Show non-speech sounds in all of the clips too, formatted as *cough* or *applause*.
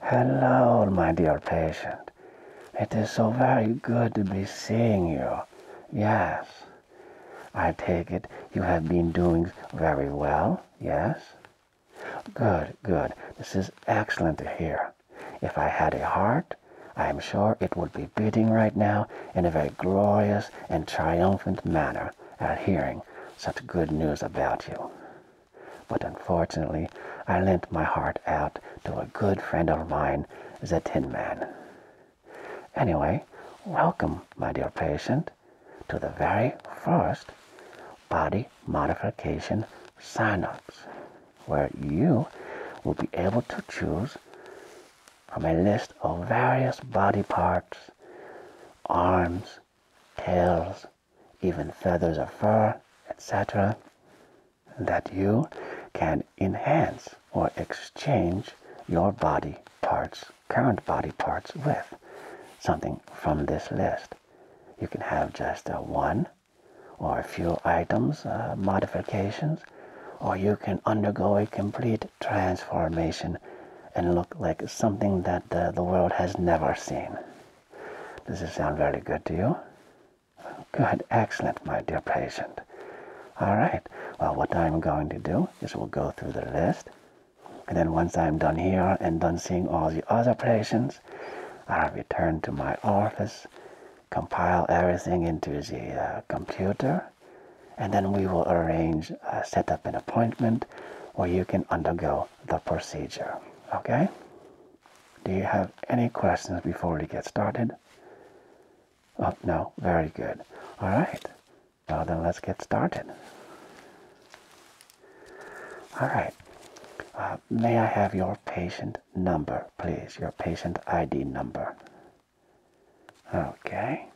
Hello, my dear patient. It is so very good to be seeing you. Yes. I take it you have been doing very well, yes? Good, good. This is excellent to hear. If I had a heart, I am sure it would be beating right now in a very glorious and triumphant manner at hearing such good news about you. But unfortunately, I lent my heart out to a good friend of mine, the Tin Man. Anyway, welcome, my dear patient, to the very first body modification signups, where you will be able to choose from a list of various body parts, arms, tails, even feathers or fur, etc., that you can enhance or exchange your body parts, current body parts, with something from this list. You can have just a uh, one or a few items, uh, modifications, or you can undergo a complete transformation and look like something that uh, the world has never seen. Does it sound very good to you? Good, excellent, my dear patient. All right, well, what I'm going to do is we'll go through the list. And then once I'm done here and done seeing all the other patients, I'll return to my office, compile everything into the uh, computer, and then we will arrange, uh, set up an appointment where you can undergo the procedure. Okay? Do you have any questions before we get started? Oh, no. Very good. All right. Well, then let's get started. All right. Uh, may I have your patient number, please? Your patient ID number. Okay.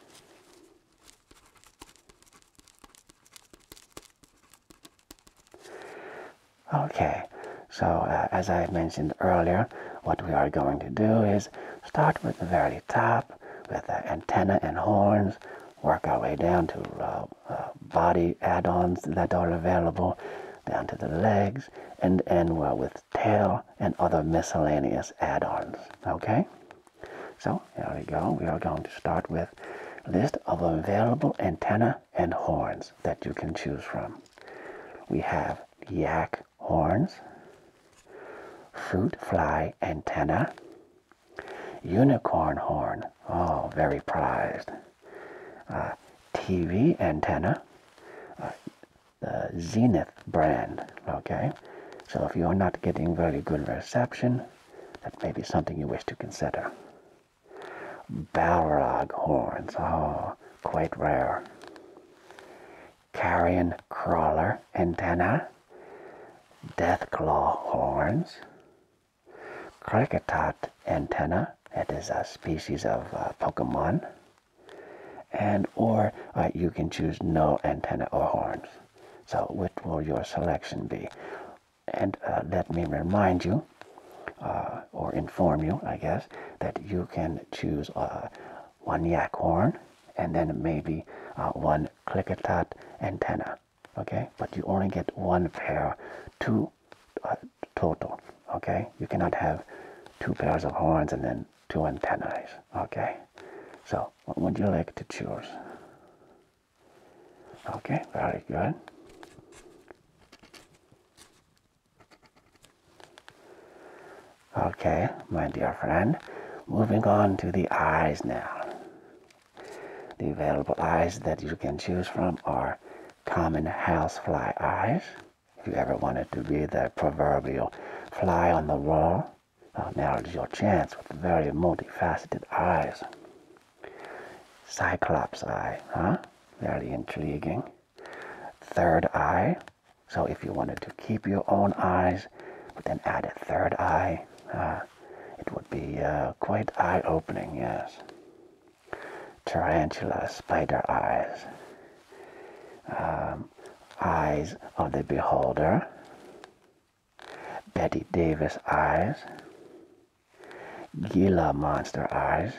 Okay, so uh, as I mentioned earlier, what we are going to do is start with the very top with the antenna and horns, work our way down to uh, uh, body add-ons that are available, down to the legs, and end well with tail and other miscellaneous add-ons. Okay, so here we go. We are going to start with list of available antenna and horns that you can choose from. We have yak horns, fruit fly antenna, unicorn horn, all oh, very prized, uh, TV antenna, the uh, uh, Zenith brand, okay? So if you're not getting very good reception, that may be something you wish to consider. Balrog horns, oh, quite rare. Carrion crawler antenna, death claw horns, cricketot antenna, It is a species of uh, Pokemon, and or uh, you can choose no antenna or horns. So which will your selection be? And uh, let me remind you, uh, or inform you, I guess, that you can choose uh, one yak horn and then maybe one clicketat antenna. Okay, but you only get one pair, two total. Okay, you cannot have two pairs of horns and then two antennas. Okay, so what would you like to choose? Okay, very good. Okay, my dear friend, moving on to the eyes now. The available eyes that you can choose from are common housefly eyes. If you ever wanted to be the proverbial fly on the wall, uh, now is your chance with very multifaceted eyes. Cyclops eye, huh? Very intriguing. Third eye. So if you wanted to keep your own eyes, but then add a third eye, uh, it would be uh, quite eye-opening, yes. Tarantula spider eyes. Um, eyes of the beholder. Betty Davis eyes, Gila monster eyes,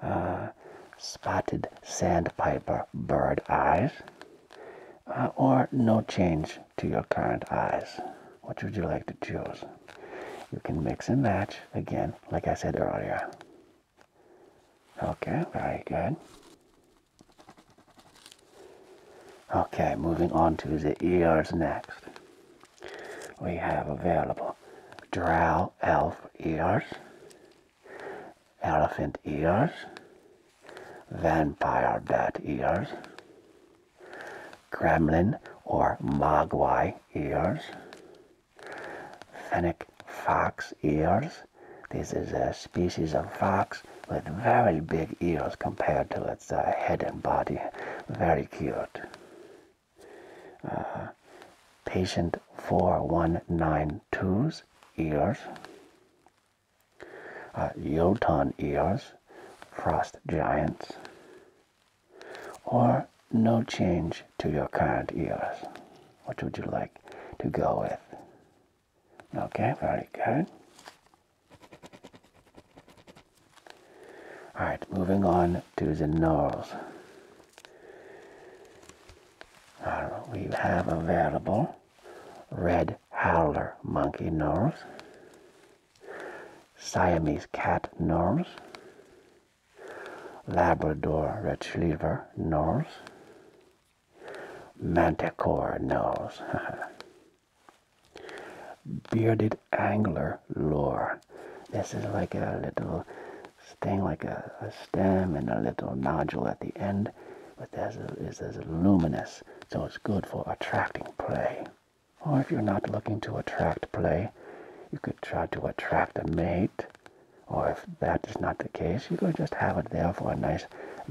uh, spotted sandpiper bird eyes, uh, or no change to your current eyes. What would you like to choose? You can mix and match again, like I said earlier. Okay, very good. Okay, moving on to the ears next. We have available drow elf ears, elephant ears, vampire bat ears, gremlin or mogwai ears, fennec fox ears. This is a species of fox with very big ears compared to its head and body. Very cute. Uh, patient 4192's ears, uh, ears, frost giants, or no change to your current ears. What would you like to go with? Okay, very good. All right, moving on to the nose. we have available red howler monkey nose, Siamese cat nose, Labrador retriever nose, manticore nose. *laughs* Bearded angler lure. This is like a little thing, like a, stem and a little nodule at the end, but this is, is luminous, so it's good for attracting prey. Or if you're not looking to attract prey, you could try to attract a mate. Or if that is not the case, you could just have it there for a nice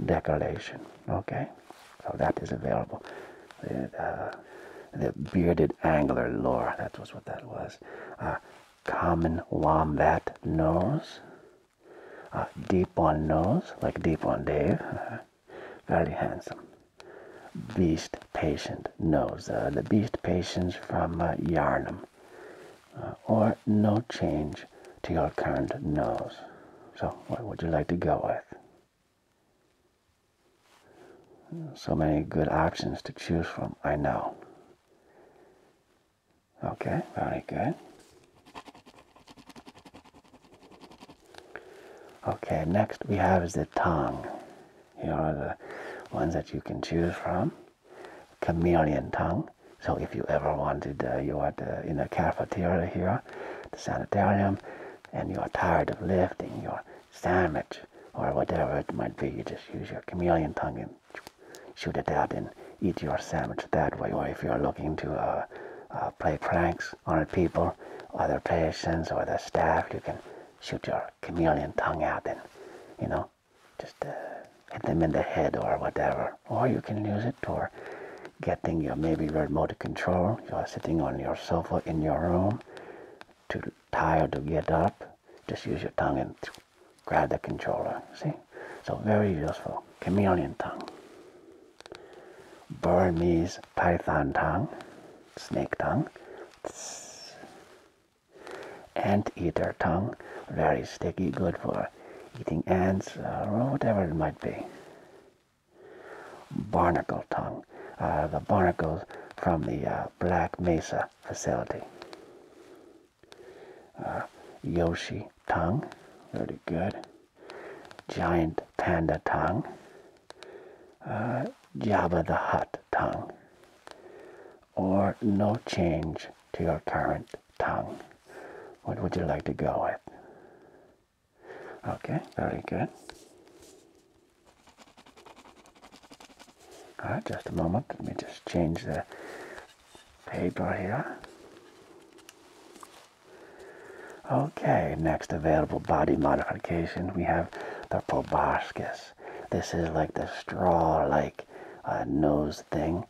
decoration. Okay? So that is available. Uh, the, bearded angler lure, that was what that was. Uh, common wombat nose. Uh, deep on nose, like deep on Dave. very handsome. Beast patient nose. the beast patients from Yarnum. or no change to your current nose. So, what would you like to go with? So many good options to choose from, I know. Okay, very good. Okay, next we have is the tongue. Here are the ones that you can choose from. Chameleon tongue. So if you ever wanted, uh, you are uh, in a cafeteria here, the sanitarium and you're tired of lifting your sandwich or whatever it might be, you just use your chameleon tongue and shoot it out and eat your sandwich that way. Or if you're looking to uh, uh, play pranks on people, other patients, or the staff, you can shoot your chameleon tongue out and, you know, just uh, hit them in the head or whatever or you can use it for getting your maybe remote control. You are sitting on your sofa in your room, too tired to get up. Just use your tongue and grab the controller. See? So very useful. Chameleon tongue. Burmese python tongue. Snake tongue. Ant eater tongue. Very sticky. Good for eating ants or uh, whatever it might be barnacle tongue, uh, the barnacles from the uh, Black Mesa facility. Uh, Yoshi tongue, very good. Giant panda tongue. Jabba the Hut tongue. Or no change to your current tongue. What would you like to go with? Okay, very good. All right, just a moment. Let me just change the paper here. Okay, next available body modification, we have the proboscis. This is like the straw-like nose thing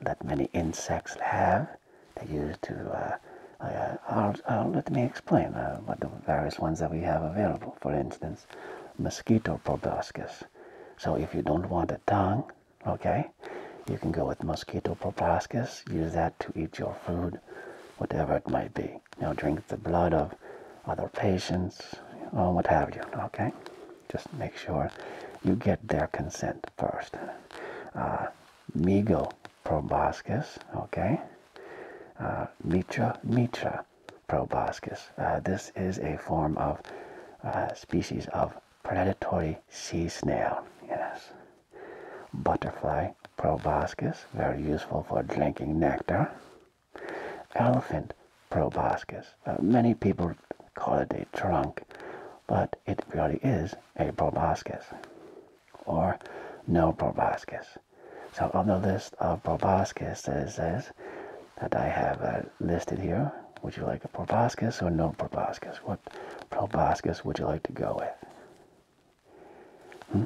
that many insects have they use to, uh, uh, I'll, let me explain uh, the various ones that we have available. For instance, mosquito proboscis. So if you don't want a tongue, okay, you can go with mosquito proboscis, use that to eat your food, whatever it might be. Now drink the blood of other patients, or what have you, okay? Just make sure you get their consent first. Uh, Miguel Proboscis, okay? Uh, Mitra Mitra proboscis. Uh, this is a form of uh, species of predatory sea snail, yes. Butterfly proboscis, very useful for drinking nectar. Elephant proboscis. many people call it a trunk, but it really is a proboscis or no proboscis. So on the list of proboscis, it says that I have uh, listed here, would you like a proboscis or no proboscis? What proboscis would you like to go with? Hmm?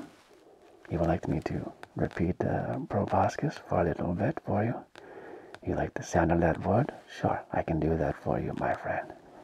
You would like me to repeat uh, proboscis for a little bit for you? You like the sound of that word? Sure, I can do that for you, my friend.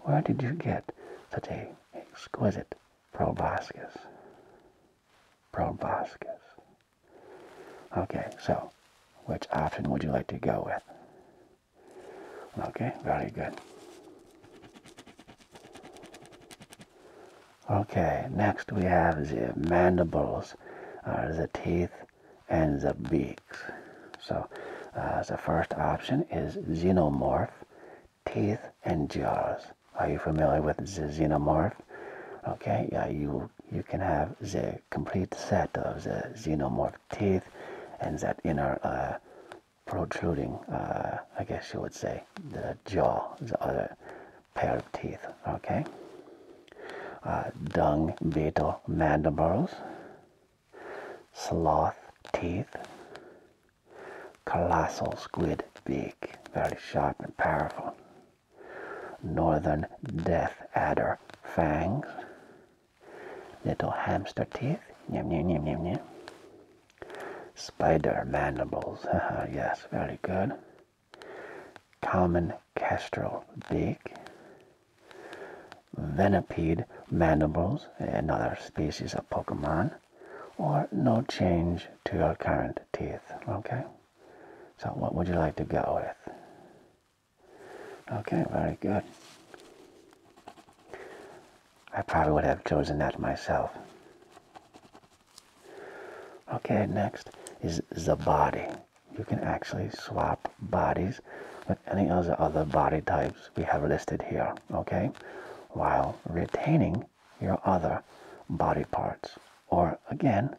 Where did you get such an exquisite proboscis? Proboscis. Okay, so which option would you like to go with? Okay, very good. Okay, next we have the mandibles, or uh, the teeth and the beaks. So uh, the first option is xenomorph teeth, and jaws. Are you familiar with the xenomorph? Okay, yeah, you you can have the complete set of the xenomorph teeth and that inner uh, protruding, uh, I guess you would say, the jaw, the other pair of teeth. Okay, uh, dung beetle mandibles sloth teeth, colossal squid beak, very sharp and powerful, northern death adder fangs, little hamster teeth, yum, Spider mandibles, *laughs* yes, very good. Common kestrel beak, venipede mandibles, another species of Pokemon, or no change to your current teeth, okay? So what would you like to go with? Okay, very good. I probably would have chosen that myself. Okay, next is the body. You can actually swap bodies with any other, other body type we have listed here, okay? While retaining your other body parts, or again,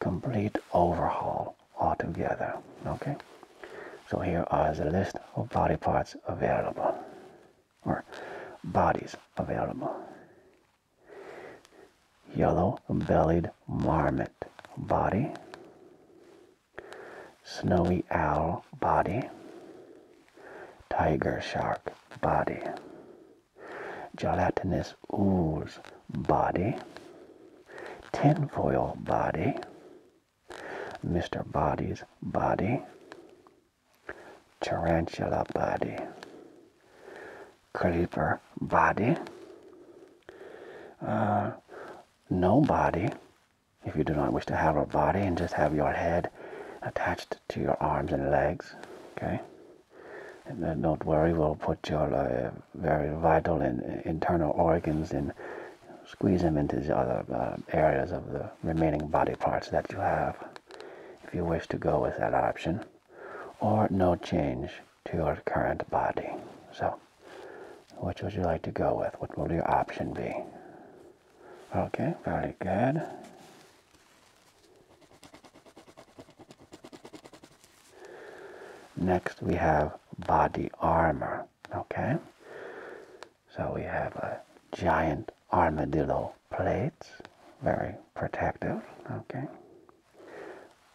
complete overhaul altogether, okay? So here are the list of body parts available, or bodies available. Yellow-bellied marmot body, Snowy owl body. Tiger shark body. Gelatinous ooze body. Tinfoil body. Mr. Body's body. Tarantula body. Creeper body. Uh, no body if you do not wish to have a body and just have your head attached to your arms and legs, okay? don't worry, we'll put your uh, very vital and internal organs in, squeeze them into the other uh, areas of the remaining body parts that you have if you wish to go with that option or no change to your current body. So which would you like to go with? What will your option be? Okay, very good. Next, we have body armor. Okay, so we have a giant armadillo plates, very protective. Okay,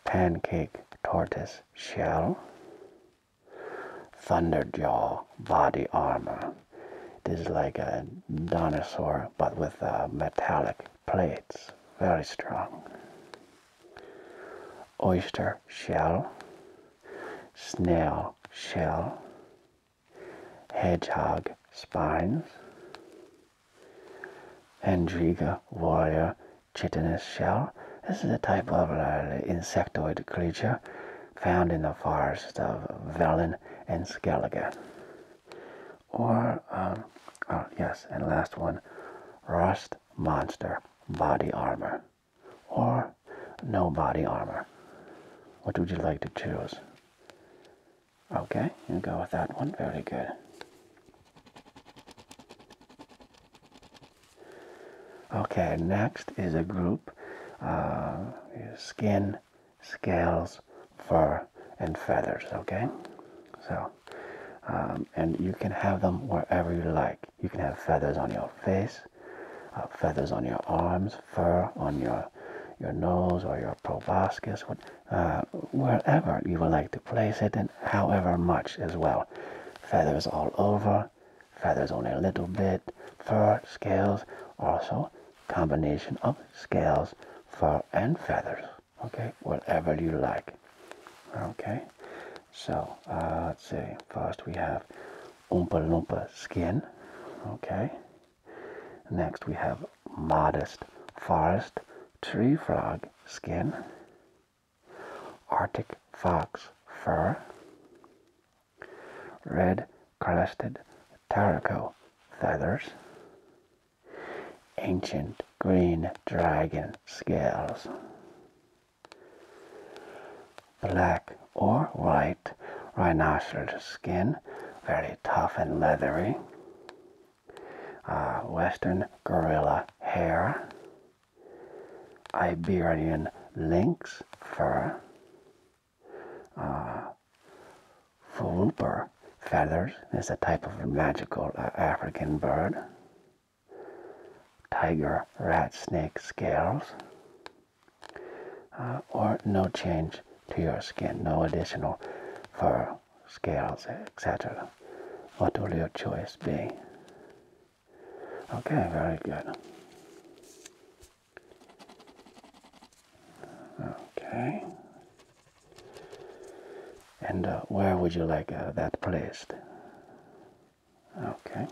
pancake tortoise shell, Thunderjaw body armor. It is like a dinosaur but with uh, metallic plates. Very strong. Oyster shell. Snail shell. Hedgehog spines. Andriga warrior chitinous shell. This is a type of uh, insectoid creature found in the forests of Valen and Skellige. Or, um, oh, yes, and last one, Rust Monster Body Armor. Or no body armor. What would you like to choose? Okay, you go with that one. Very good. Okay, next is a group uh, skin, scales, fur, and feathers. Okay, so um, and you can have them wherever you like. You can have feathers on your face, uh, feathers on your arms, fur on your your nose or your proboscis, uh, wherever you would like to place it, and however much as well. Feathers all over, feathers only a little bit, fur, scales, also combination of scales, fur, and feathers. Okay, whatever you like. Okay, so uh, let's see. First we have Oompa Loompa skin. Okay, next we have modest forest tree frog skin. Arctic fox fur, red crested taraco feathers, ancient green dragon scales, black or white rhinoceros skin, very tough and leathery, uh, western gorilla hair, Iberian lynx fur, uh, feathers is a type of magical uh, African bird, tiger rat snake scales, uh, or no change to your skin, no additional fur, scales, etc. What will your choice be? Okay, very good. Okay. And uh, where would you like uh, that placed? Okay.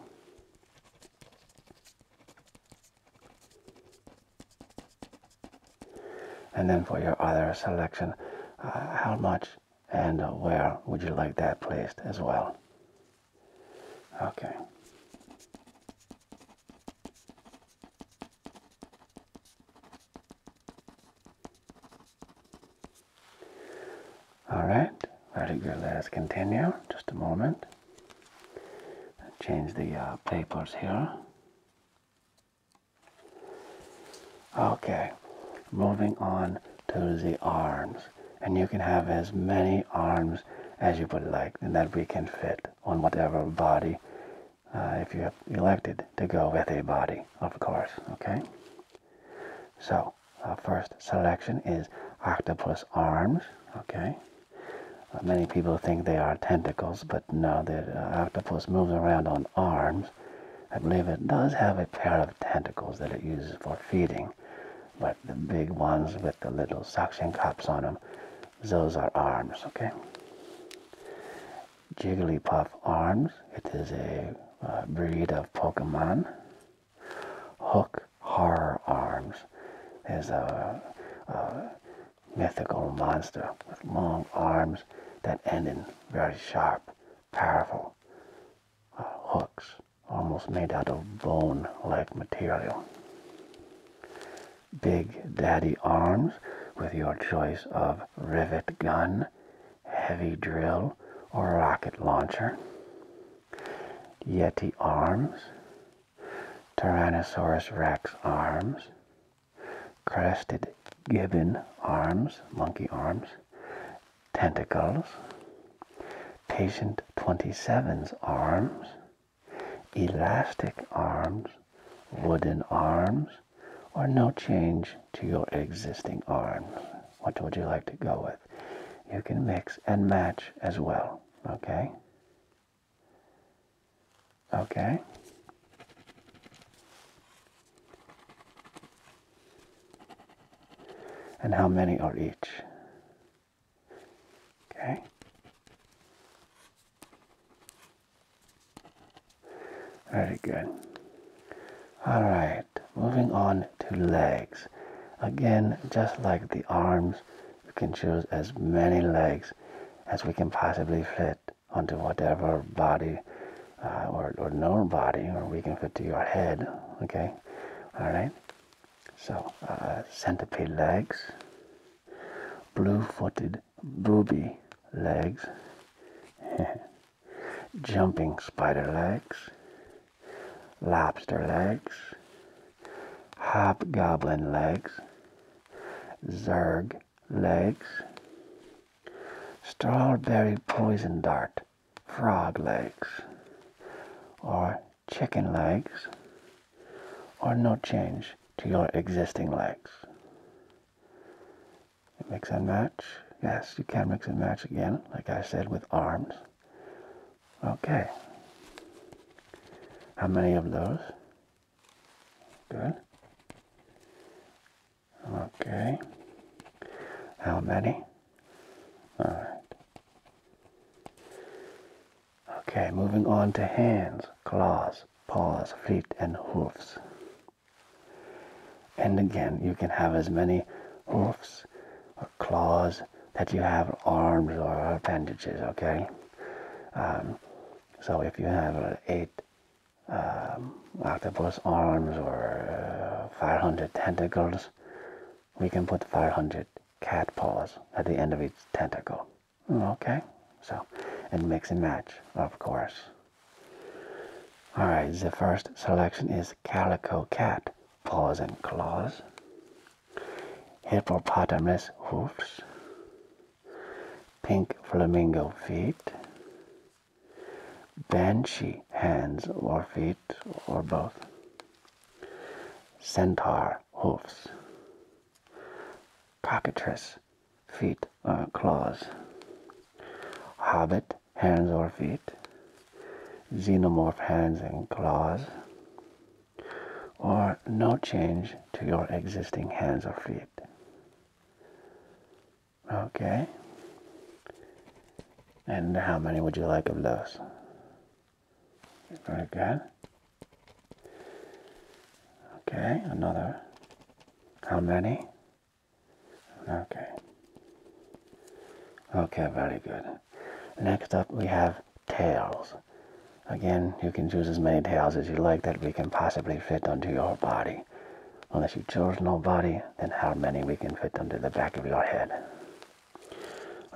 And then for your other selection, uh, how much and where would you like that placed as well? Okay. All right, very good. Let us continue. Just a moment. Change the uh, papers here. Okay, moving on to the arms and you can have as many arms as you would like and that we can fit on whatever body uh, if you have elected to go with a body of course okay so our first selection is octopus arms okay uh, many people think they are tentacles but no the uh, octopus moves around on arms I believe it does have a pair of tentacles that it uses for feeding but the big ones with the little suction cups on them, those are arms, okay? Jigglypuff arms, it is a uh, breed of Pokemon. Hook horror arms is a, mythical monster with long arms that end in very sharp, powerful uh, hooks almost made out of bone like material. Big Daddy Arms with your choice of rivet gun, heavy drill, or rocket launcher. Yeti Arms, Tyrannosaurus Rex Arms, Crested Gibbon Arms, Monkey Arms, tentacles, patient 27's arms, elastic arms, wooden arms, or no change to your existing arms. Which would you like to go with? You can mix and match as well, okay? Okay and how many are each. Okay? Very good. All right, moving on to legs. Again, just like the arms, we can choose as many legs as we can possibly fit onto whatever body uh, or, or known body, or we can fit to your head, okay? All right? So, uh, centipede legs, blue-footed booby legs, *laughs* jumping spider legs, lobster legs, hobgoblin legs, zerg legs, strawberry poison dart frog legs or chicken legs or no change to your existing legs. Mix and match. Yes, you can mix and match again, like I said, with arms. Okay. How many of those? Good. Okay. How many? All right. Okay, moving on to hands, claws, paws, feet, and hoofs. And again, you can have as many hoofs or claws that you have arms or appendages, okay? Um, so if you have uh, eight um, octopus arms or uh, 500 tentacles, we can put 500 cat paws at the end of each tentacle. Okay, so, and mix and match, of course. Alright, the first selection is Calico Cat, paws and claws. Hippopotamus hoofs. Pink flamingo feet banshee hands or feet or both, centaur hooves. cockatrice feet or uh, claws, hobbit hands or feet, xenomorph hands and claws, or no change to your existing hands or feet. Okay. And how many would you like of those? Very good. Okay, another. How many? Okay. Okay, very good. Next up we have tails. Again, you can choose as many tails as you like that we can possibly fit onto your body. Unless you chose nobody, then how many we can fit under the back of your head.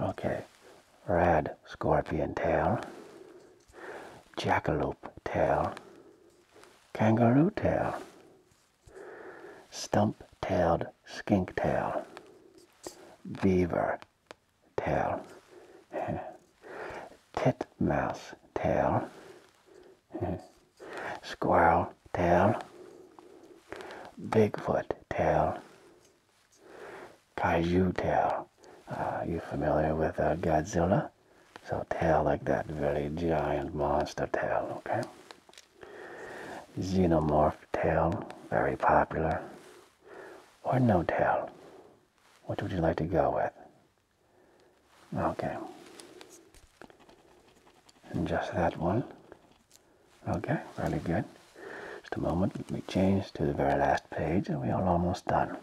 Okay, rad scorpion tail, jackalope tail, kangaroo tail, stump-tailed skink tail, beaver tail, *laughs* titmouse tail, Squirrel tail. Bigfoot tail. Kaiju tail. Are uh, you familiar with uh, Godzilla? So tail like that very giant monster tail, okay? Xenomorph tail, very popular. Or no tail? What would you like to go with? Okay and just that one okay really good just a moment we change to the very last page and we are almost done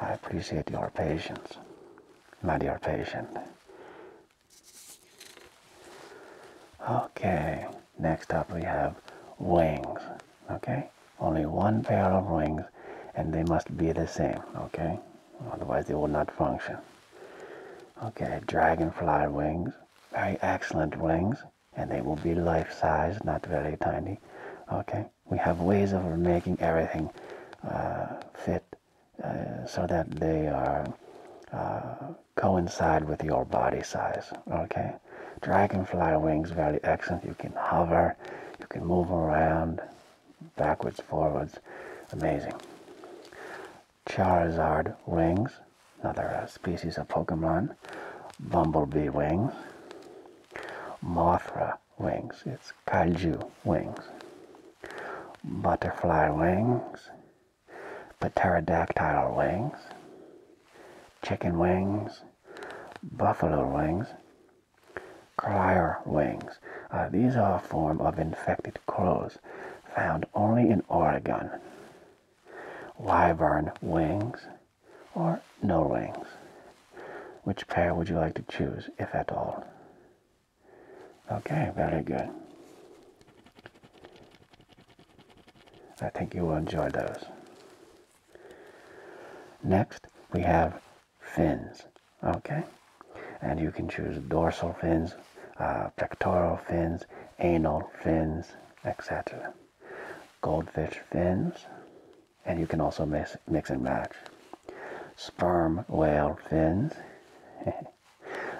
i appreciate your patience Not your patience. okay next up we have wings okay only one pair of wings and they must be the same okay otherwise they will not function Okay, dragonfly wings, very excellent wings, and they will be life-size, not very tiny. Okay, we have ways of making everything uh, fit uh, so that they are uh, coincide with your body size. Okay, dragonfly wings, very excellent. You can hover, you can move around, backwards, forwards, amazing. Charizard wings, another uh, species of Pokemon, Bumblebee wings, Mothra wings, it's Kaiju wings, Butterfly wings, Pterodactyl wings, Chicken wings, Buffalo wings, Crier wings. Uh, these are a form of infected crows found only in Oregon. Wyvern wings or no wings? Which pair would you like to choose, if at all? Okay, very good. I think you will enjoy those. Next, we have fins Okay, and you can choose dorsal fins, uh, pectoral fins, anal fins, etc. Goldfish fins, and you can also mix, mix and match. Sperm whale fins, *laughs*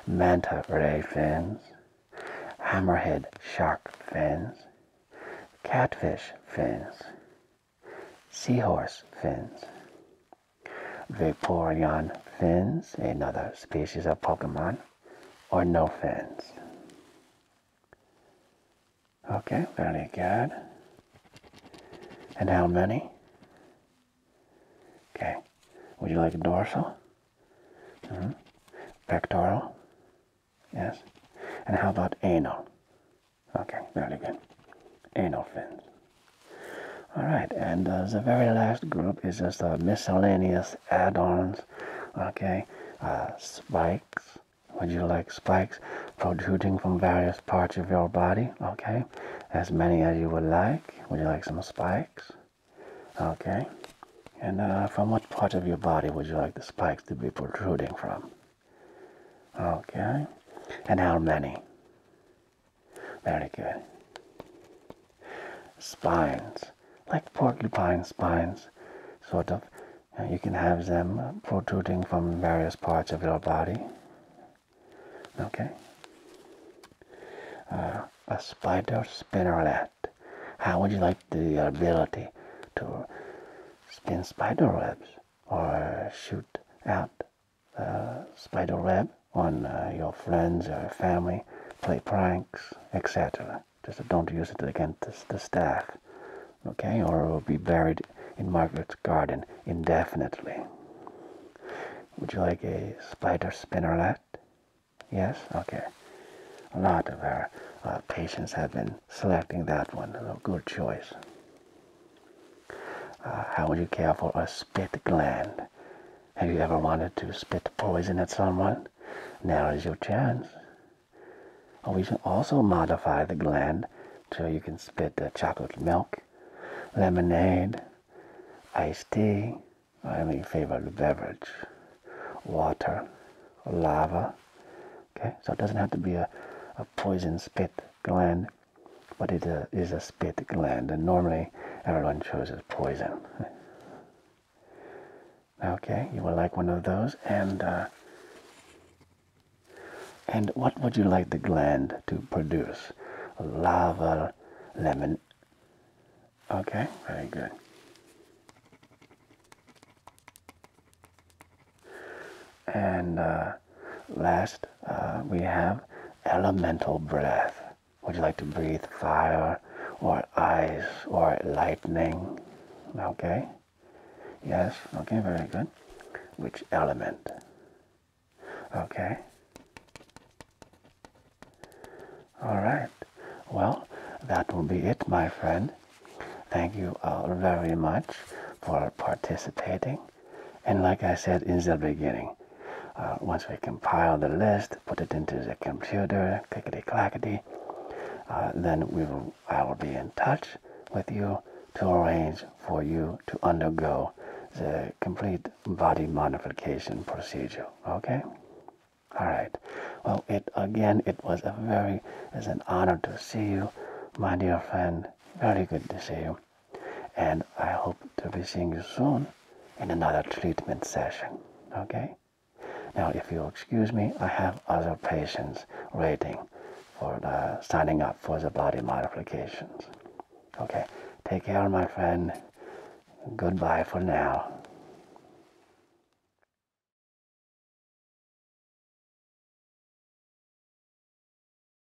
manta ray fins, hammerhead shark fins, catfish fins, seahorse fins, Vaporeon fins, another species of Pokemon, or no fins. Okay, very good. And how many? Okay. Would you like dorsal? -hmm. Pectoral? Yes. And how about anal? Okay, very good. Anal fins. All right, and uh, the very last group is just the uh, miscellaneous add-ons. Okay, uh, spikes. Would you like spikes protruding from various parts of your body? Okay, as many as you would like. Would you like some spikes? Okay, and from what part of your body would you like the spikes to be protruding from? Okay, and how many? Very good. Spines, like porcupine spines, sort of. You can have them protruding from various parts of your body. Okay. Uh, a spider spinneret. How would you like the ability to spin spider webs or shoot out uh, spider web on uh, your friends or family, play pranks, etc. Just don't use it against the, staff, okay? Or it will be buried in Margaret's garden indefinitely. Would you like a spider spinneret? Yes? Okay. A lot of our uh, patients have been selecting that one. A good choice. Uh, how would you care for a spit gland? Have you ever wanted to spit poison at someone? Now is your chance. Or we should also modify the gland so you can spit chocolate milk, lemonade, iced tea, or any favorite beverage, water, lava. Okay, so it doesn't have to be a poison spit gland but it uh, is a spit gland, and normally everyone chooses poison. Okay, you would like one of those, and uh, and what would you like the gland to produce? Lava, lemon. Okay, very good. And uh, last uh, we have elemental breath. Would you like to breathe fire or ice or lightning? Okay. Yes. Okay, very good. Which element? Okay. All right. Well, that will be it, my friend. Thank you all uh, very much for participating. And like I said in the beginning, uh, once we compile the list, put it into the computer, clickety clackety, uh, then we will, I will be in touch with you to arrange for you to undergo the complete body modification procedure. Okay? All right. Well, it again, it was a very, it's an honor to see you, my dear friend. Very good to see you. And I hope to be seeing you soon in another treatment session. Okay? Now, if you'll excuse me, I have other patients waiting for the, signing up for the body modifications. Okay? Take care, my friend. Goodbye for now.